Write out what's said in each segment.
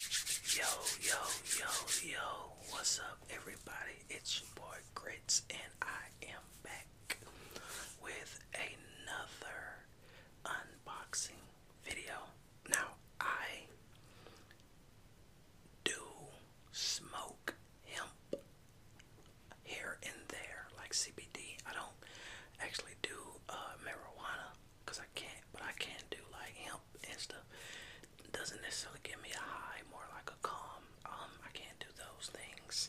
Yo, yo, yo, yo, what's up, everybody? It's your boy Grits, and I am back with another unboxing video. Now, I do smoke hemp here and there, like CBD. I don't actually do uh, marijuana, Cause I can't, but I can do like hemp and stuff. Doesn't necessarily give me a high, more like a calm. Um, I can't do those things.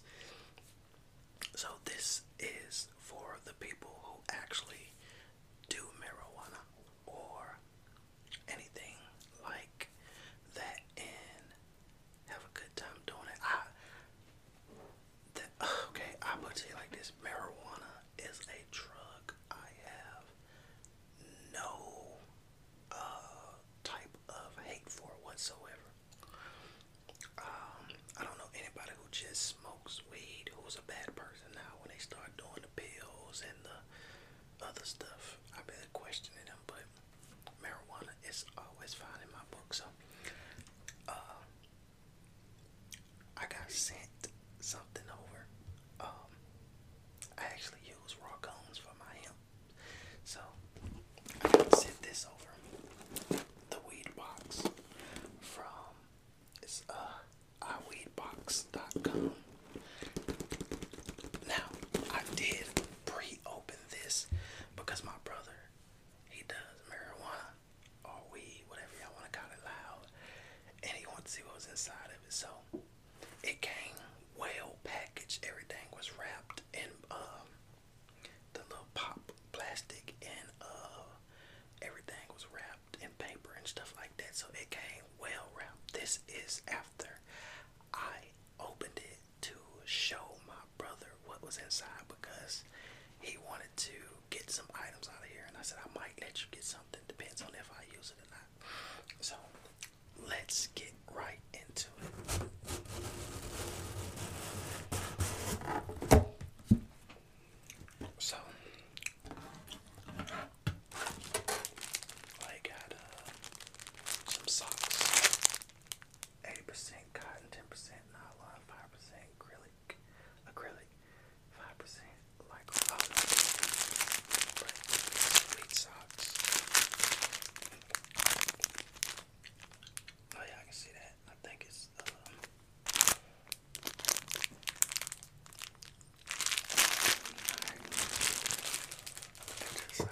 So this is for the people who actually do marijuana or anything like that and have a good time doing it. I, okay, I would say like this marijuana is a drug. I have no uh, type of hate for whatsoever. Um, I don't know anybody who just smokes weed who's a bad person now when they start doing the pills and the other stuff. I've been questioning them, but marijuana is always fine in my book. So, uh, I got sent something over. Um, I actually use raw cones for my hemp, so I'm sent this over. The weed box from it's uh iweedbox.com. Now I did pre-open this because my brother he does marijuana or weed, whatever y'all want to call it, loud and he wanted to see what was inside of it. So it came well packaged. Everything was wrapped in um, the little pop plastic, and uh, everything was wrapped in paper and stuff like that. So it came well wrapped. This is after I opened it to show my brother what was inside because he wanted to get some items out of here, and I said I might let you get some. That depends on if I use it or not. So let's get right into it. So I got uh, some socks. 80% cotton, 10% nylon, 5% acrylic, acrylic, five percent like all of them. socks. Oh yeah, I can see that. I think it's uh,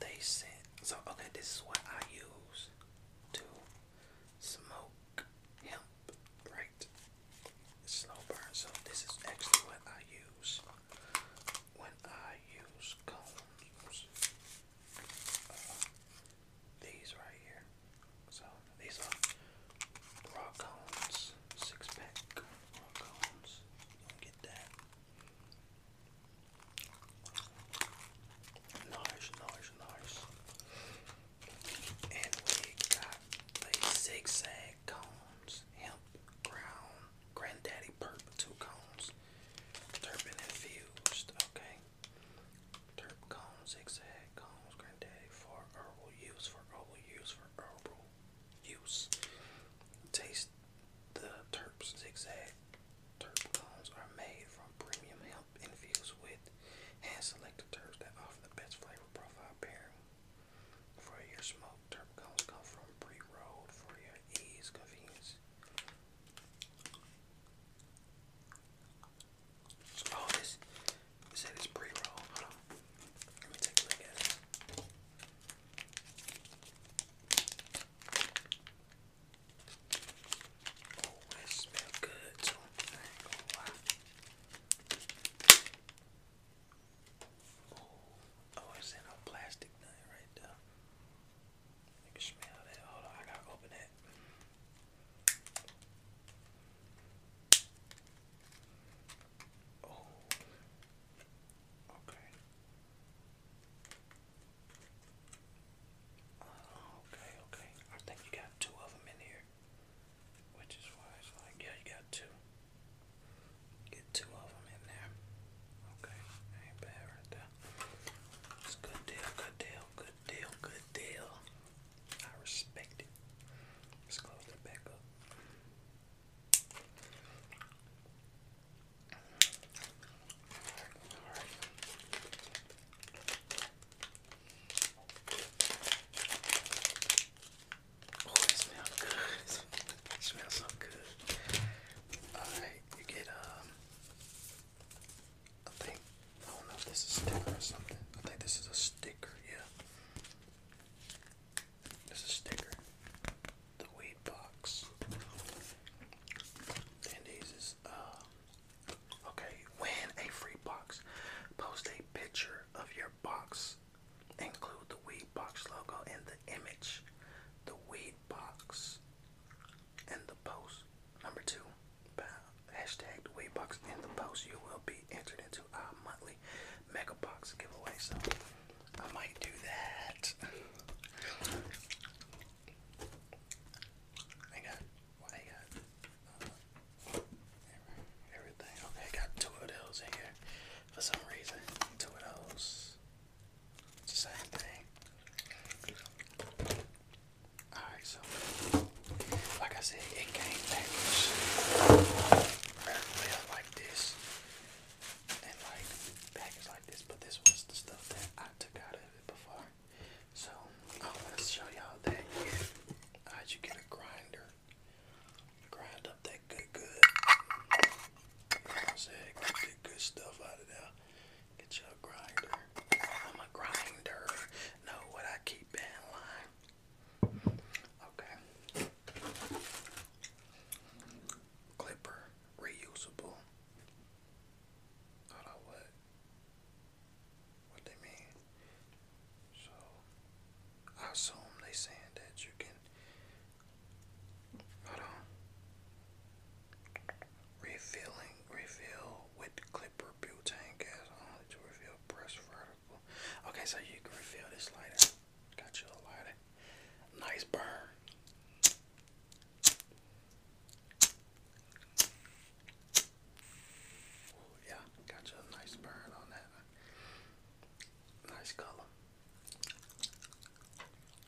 They sent so okay. This is what I use to smoke hemp, right? slow burn. So this is actually what I use when I use cones. Uh, these right here. So these are raw cones, six pack raw cones. do get that. Nice, nice, nice. And we got the zigzag cones, hemp ground, granddaddy purple cones, turban infused, okay. Turp cones, zigzag cones, granddaddy for herbal use, for herbal use, for herbal use. Taste the turps, zigzag turp cones are made from premium hemp up infused with hand-selected turps that offer the best flavor profile pairing. For your smoke, turp cones come from pre roll for your ease, convenience. Oh, this it said pre-roll. Let me take a look at it. Oh, good Oh, oh it's in a plastic thing right there. You can smell that. Hold on, I gotta open that. Oh, okay. Oh, okay, okay. I think you got two of them in here. Which is why it's like, yeah, you got two. Get two of them in there. Okay, ain't bad right there. It's good deal, good deal, good deal, good deal. I respect it. Let's close that back up. alright. Oh, it smells good. It smells so good. Alright, you get, um, I think, I don't know if this is a sticker or something. I think this is a sticker, yeah. This is a sticker. The weed box. And these is, uh, Okay, win a free box. Post a picture of your box. Include the We Box logo in the image. The We Box in the post. Number two, hashtag the Weed Box in the post. You will be entered into our monthly Mega Box giveaway. So I might do that. I got I got uh, everything. Okay, got two of those in here for some reason. Two of those. It's the same thing. Alright, so like I said, it came back. very well like this. And like packaged like this, but this was the stuff that I took out of it before. So I'm gonna show y'all that how'd you get a grinder. Grind up that good good. Say get good, good stuff out of there. Get you a grinder. I'm a grinder. Know what I keep in line. Okay. Clipper reusable. Hold on, what? what they mean. So I assume they saying that you can hold on. Refilling refill with clipper butane gas only to refill press vertical. Okay, so you can refill this lighter. Got you a lighter. Nice burn yeah, got you a nice burn on that. Nice color.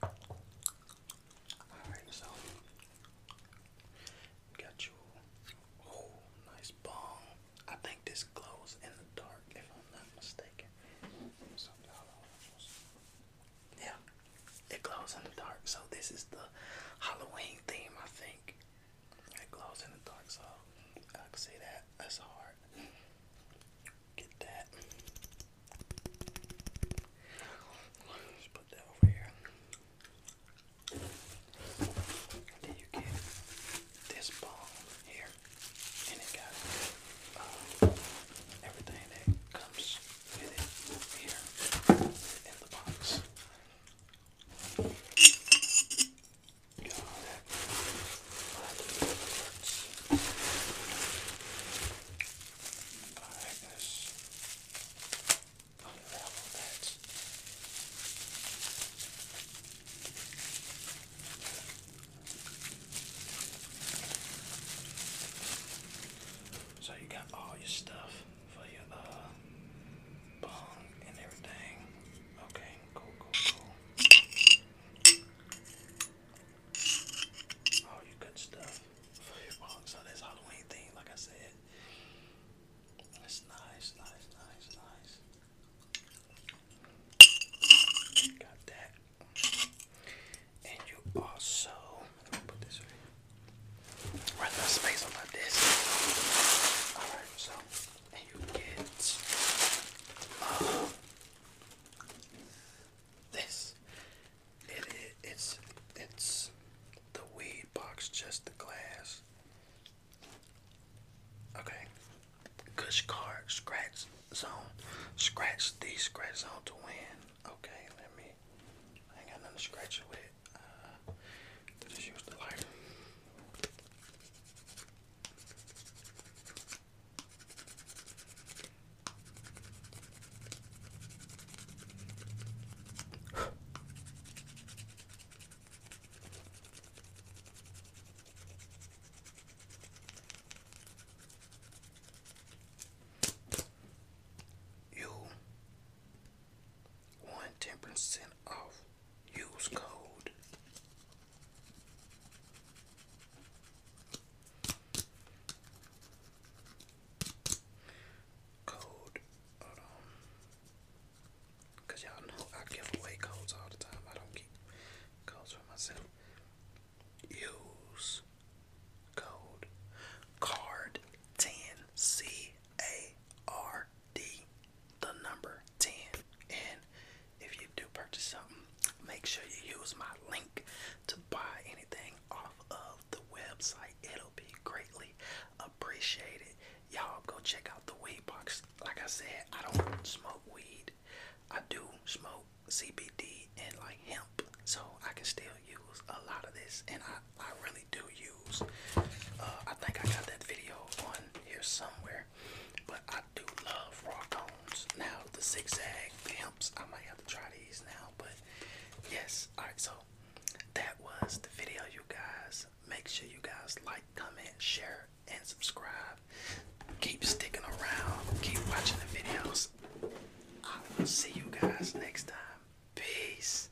Alright, so got you. Oh, nice bomb. I think this glows in the dark, if I'm not mistaken. Yeah, it glows in the dark. So this is the Halloween theme, I think. It glows in the dark, so I can see that. That's hard. Get that. Just put that over here. then you get this bone here, and it got uh, everything that comes with it here in the box. So you got all your stuff for your uh bong and everything. Okay, cool, cool, cool. All oh, your good stuff for your bong. So that's Halloween thing, like I said. That's nice, nice, nice, nice. Got that. And you also put this right. Run the space on my this. Alright, so you get uh, this. It, it's it's the weed box, just the glass. Okay. Cush card, scratch zone. Scratch the scratch zone to win. Okay, let me I ain't got nothing to scratch it it. Uh, use the lighter. you one ten percent off. Use code. Code. Cause y'all know I give away codes all the time. I don't keep codes for myself. Use code card ten C A R D, the number 10. And if you do purchase something, make sure you use my link to buy anything off of the website. It'll be greatly appreciated. Y'all go check out the weed box. Like I said, I don't smoke weed. I do smoke CBD and like hemp, so I can still use a lot of this. And I I really do use. Uh, I think I got that video on here somewhere, but I do love raw cones. Now the zigzag pimps, I might have to try these now, but yes. All right, so that was the video, you guys. Make sure you guys like, comment, share, and subscribe. Keep sticking around. Keep watching the videos. I will see you guys next time. Peace.